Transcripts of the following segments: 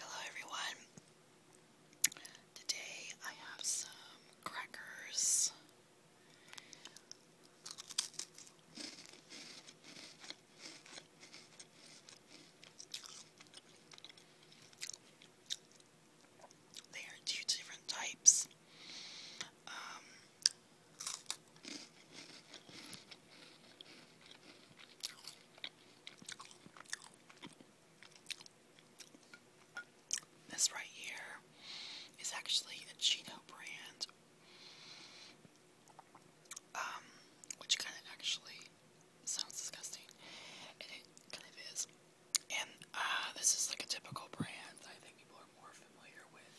Hello everyone. Today I have some crackers. They are two different types. Um, this right here is actually a Cheeto brand, um, which kind of actually sounds disgusting, and it kind of is. And uh, this is like a typical brand that I think people are more familiar with.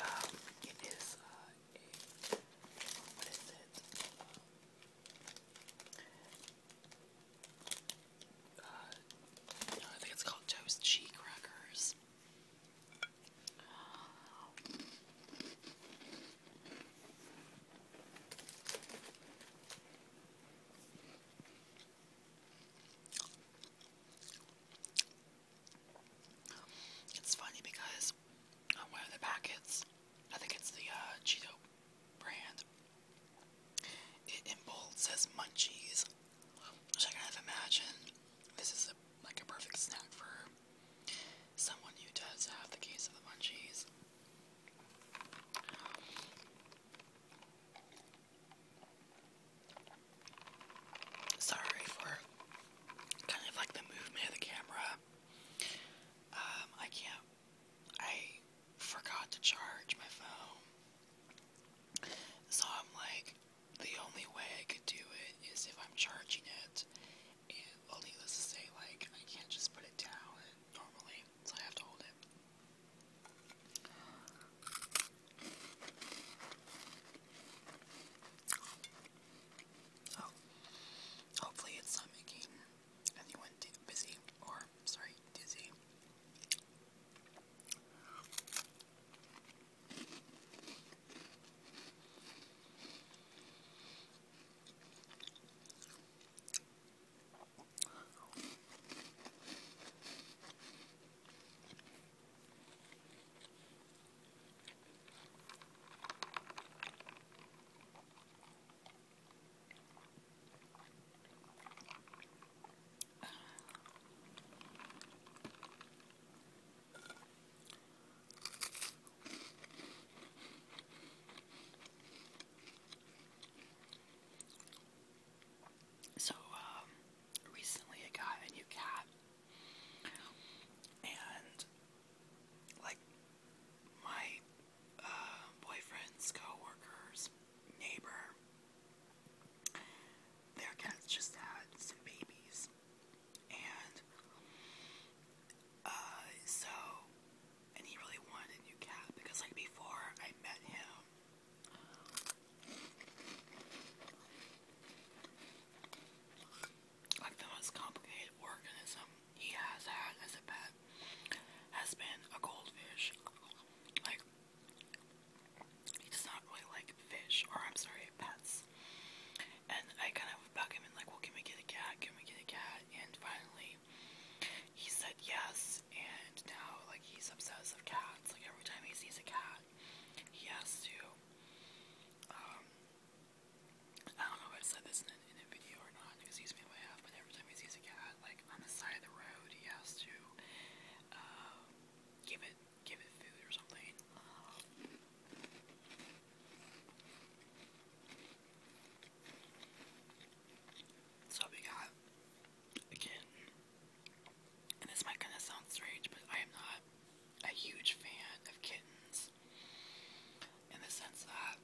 Um, it is uh, what is it? Uh, I think it's called toast cheese crackers. It's funny because on one of the packets, I think it's the uh, Cheeto brand, it in bold says munchies, which I kind of imagine this is a, like a perfect snack for someone who does have the case of the munchies. Sorry for kind of like the movement of the camera. Um, I can't. I forgot to charge my phone. So I'm like, the only way I could do it is if I'm charging it. And, needless to say, like, I can't just put it down normally, so I have to hold it. So, oh. hopefully it's not making anyone busy or, sorry, dizzy. So, um, recently I got a new cat. And like my uh, boyfriend's co-workers, neighbor, their cats just had some babies, and uh, so, and he really wanted a new cat because like before I met him, I feel as complicated organism he has had as a pet has been a goldfish. Like, he does not really like fish, or I'm sorry, pets. And I kind of bug him and, like, well, can we get a cat? Can we get a cat? And finally, he said yes, and now, like, he's obsessed with cats. Like, every time he sees a cat, he has to, um, I don't know if I said this in a, video or not, excuse me if I have, but every time he sees a cat, like, on the side of the road, he has to, um, give it, give it food or something. so we got a and this might kind of sound strange, but I am not a huge fan of kittens in the sense that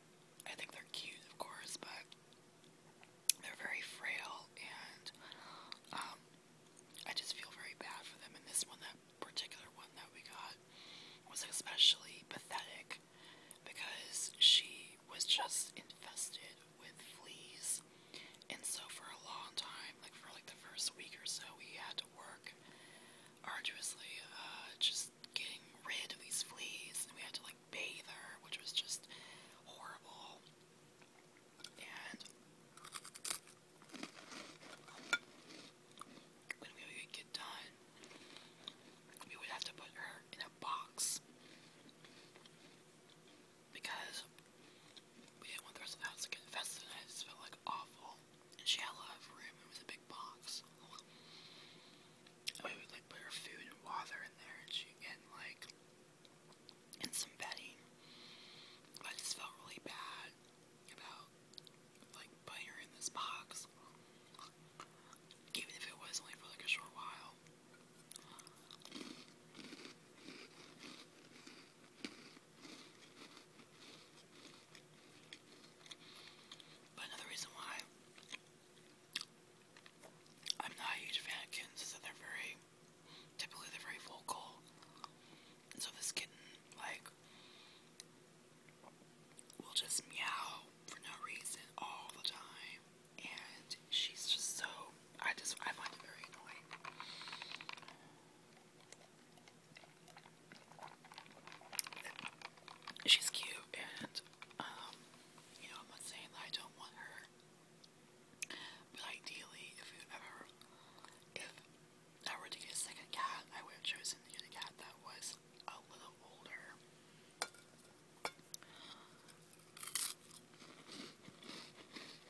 I think they're cute, of course, but they're very frail, and um, I just feel very bad for them. And this one, that particular one that we got, was especially pathetic because she was just infested with fleas. And so for a long time, like for like the first week or so, we had to work arduously, uh, just getting rid of these fleas. And we had to like bathe her, which was just horrible. And when we would get done, we would have to put her in a box because we didn't want the house to get infested and just felt like awful. she had a lot of room, it was a big box. we would like put her food and water in there and she and like and some bedding. I just felt really bad about like putting her in this box. Even if it was only for like a short while. But another reason why I'm not a huge fan of kittens is that they're very, typically they're very vocal. And so this kitten, like, will just meow for no reason all the time. And she's just so I just I find it very annoying. She's cute, and um, you know, I'm not saying I don't want her, but ideally, if ever, if I were to get a second cat, I would have chosen to get a cat that was a little older.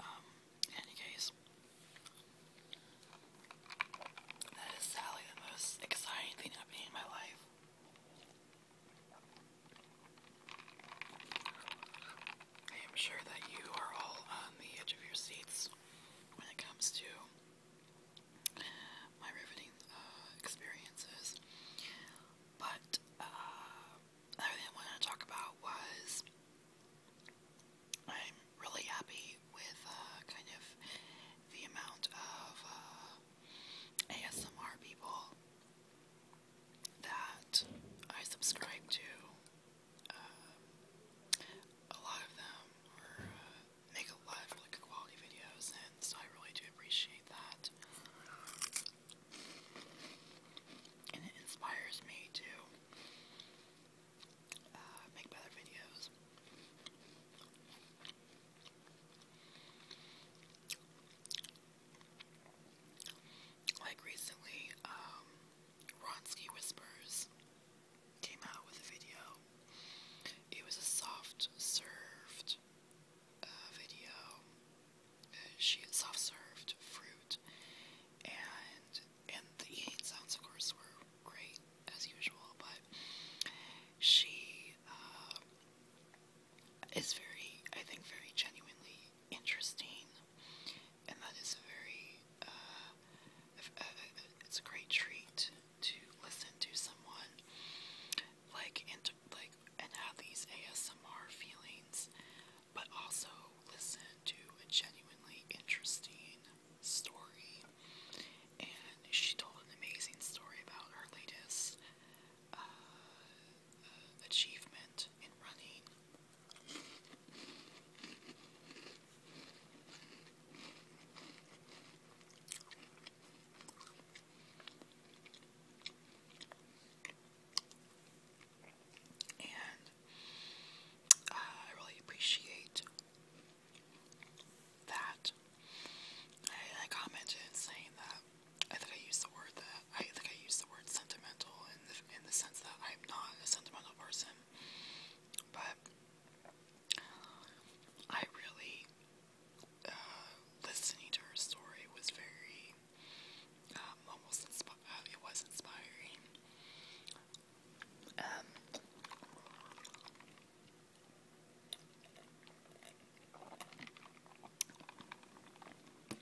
Um, that is sadly the most exciting thing happening in my life. I am sure that you are all on the edge of your seats when it comes to my riveting uh, experiences. But uh, another thing to talk about was I'm really happy with uh, kind of the amount of uh, ASMR people that I subscribe to. Um, a lot of them are make a lot of really quality videos, and so I really do appreciate that. And it inspires me to uh, make better videos. Like recently, um, Ronsky Whispers came out with a video. It was a soft served video, uh, she soft served fruit, and and the eating sounds, of course, were great as usual. But she uh, is very, I think, very genuinely interesting, and that is a very uh, it's a great treat to listen to someone like and like and have these ASMR feelings, but also listen to a genuinely interesting story. And she told an amazing story about her latest uh, achievement in running. And uh, I really appreciate that. I, commented saying that I think I used the word that I think I used the word sentimental in in the sense that I'm not a sentimental person, but I really uh, listening to her story was very um, almost uh, it was inspiring. Um,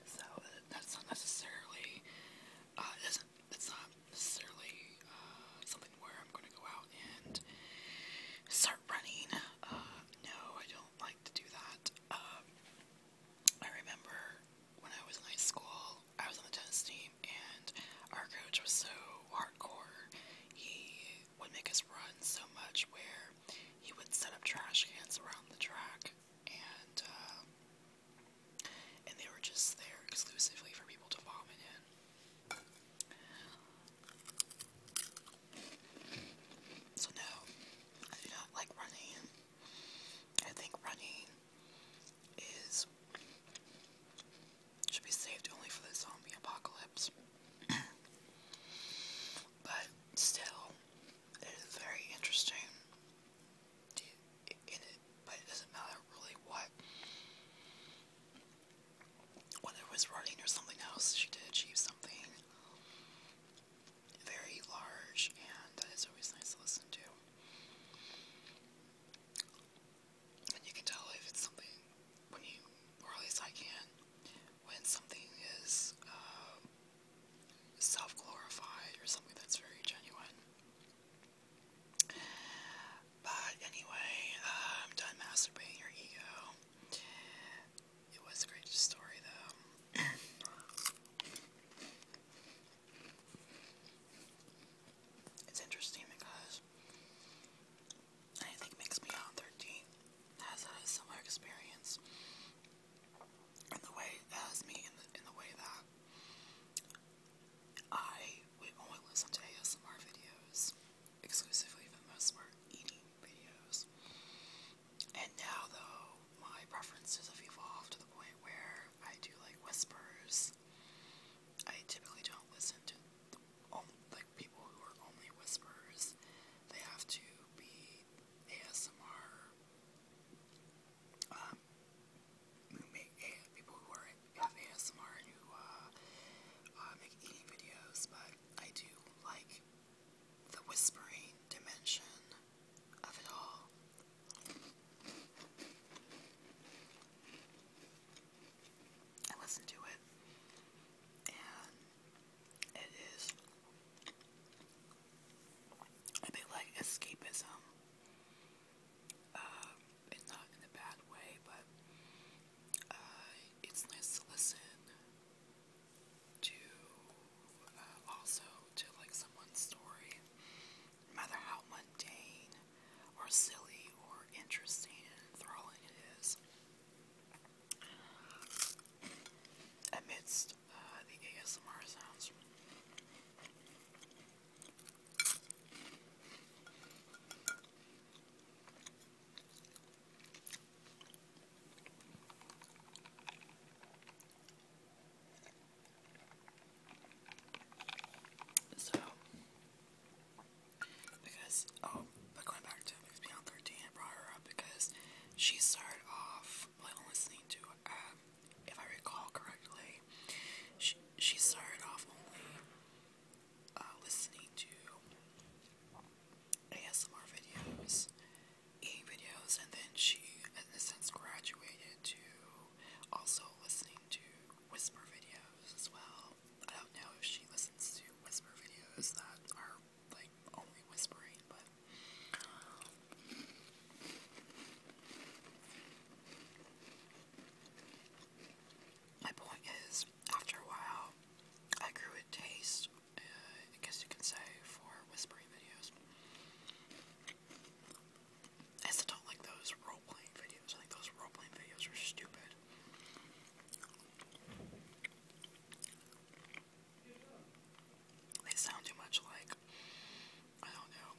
so uh, that's not necessarily uh, not it's not necessarily uh, something something where I'm gonna go out and start running. Uh, no, I don't like to do that. Um, I remember when I was in high school, I was on the tennis team, and our coach was so hardcore. He would make us run so much where he would set up trash cans around the track, and um, and they were just there exclusively for people to vomit in. So no, I do not like running. I think running is should be saved only for the zombie apocalypse. but still, it is very interesting. In it, but it doesn't matter really what whether it was running or something else, she did achieve something very large, and that is always nice to listen to. And you can tell if it's something when you, or at least I can, when something is uh, self glorified or something that's very genuine. But anyway, I'm um, done masturbating your ego. It was a great story, though. it's interesting because I think Mix Me Out has a similar experience in the way that me in the, in the way that I would only listen to ASMR videos exclusively for the most part, eating videos. And now, though, my preferences have evolved to the point where I do like whispers. I typically don't listen to like people who are only whispers. They have to be ASMR. Um, who people who are have ASMR and who uh, uh, make eating videos, but I do like the whispering dimension of it all. I listen to it, and it is a bit like escapism uh, um, and not in a bad way, but uh, it's nice to listen to uh, also to like someone's story, no matter how mundane or silly or interesting and enthralling it is. Amidst uh, the ASMR sounds. So, because, oh, but going back to Mix Beyond 13, I brought her up because she started off, like, listening to, um, if I recall correctly, she, she started off only uh, listening to ASMR videos, eating videos, and then she, in a sense, graduated to also listening to whisper videos as well. I don't know if she listens to whisper videos that are like only whispering, but. My point is, after a while, I grew a taste, uh, I guess you can say, for whispering videos. I still don't like those role playing videos. I think those role playing videos are stupid. They sound too much like, I don't know,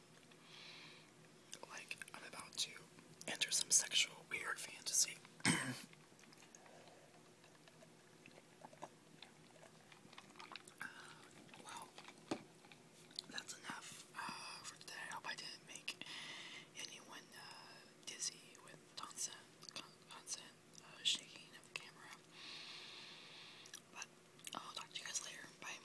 like I'm about to enter some sexual weird fantasy. well, that's enough uh, for today. I hope I didn't make anyone uh, dizzy with constant, constant uh, shaking of camera. But I'll talk to you guys later. Bye.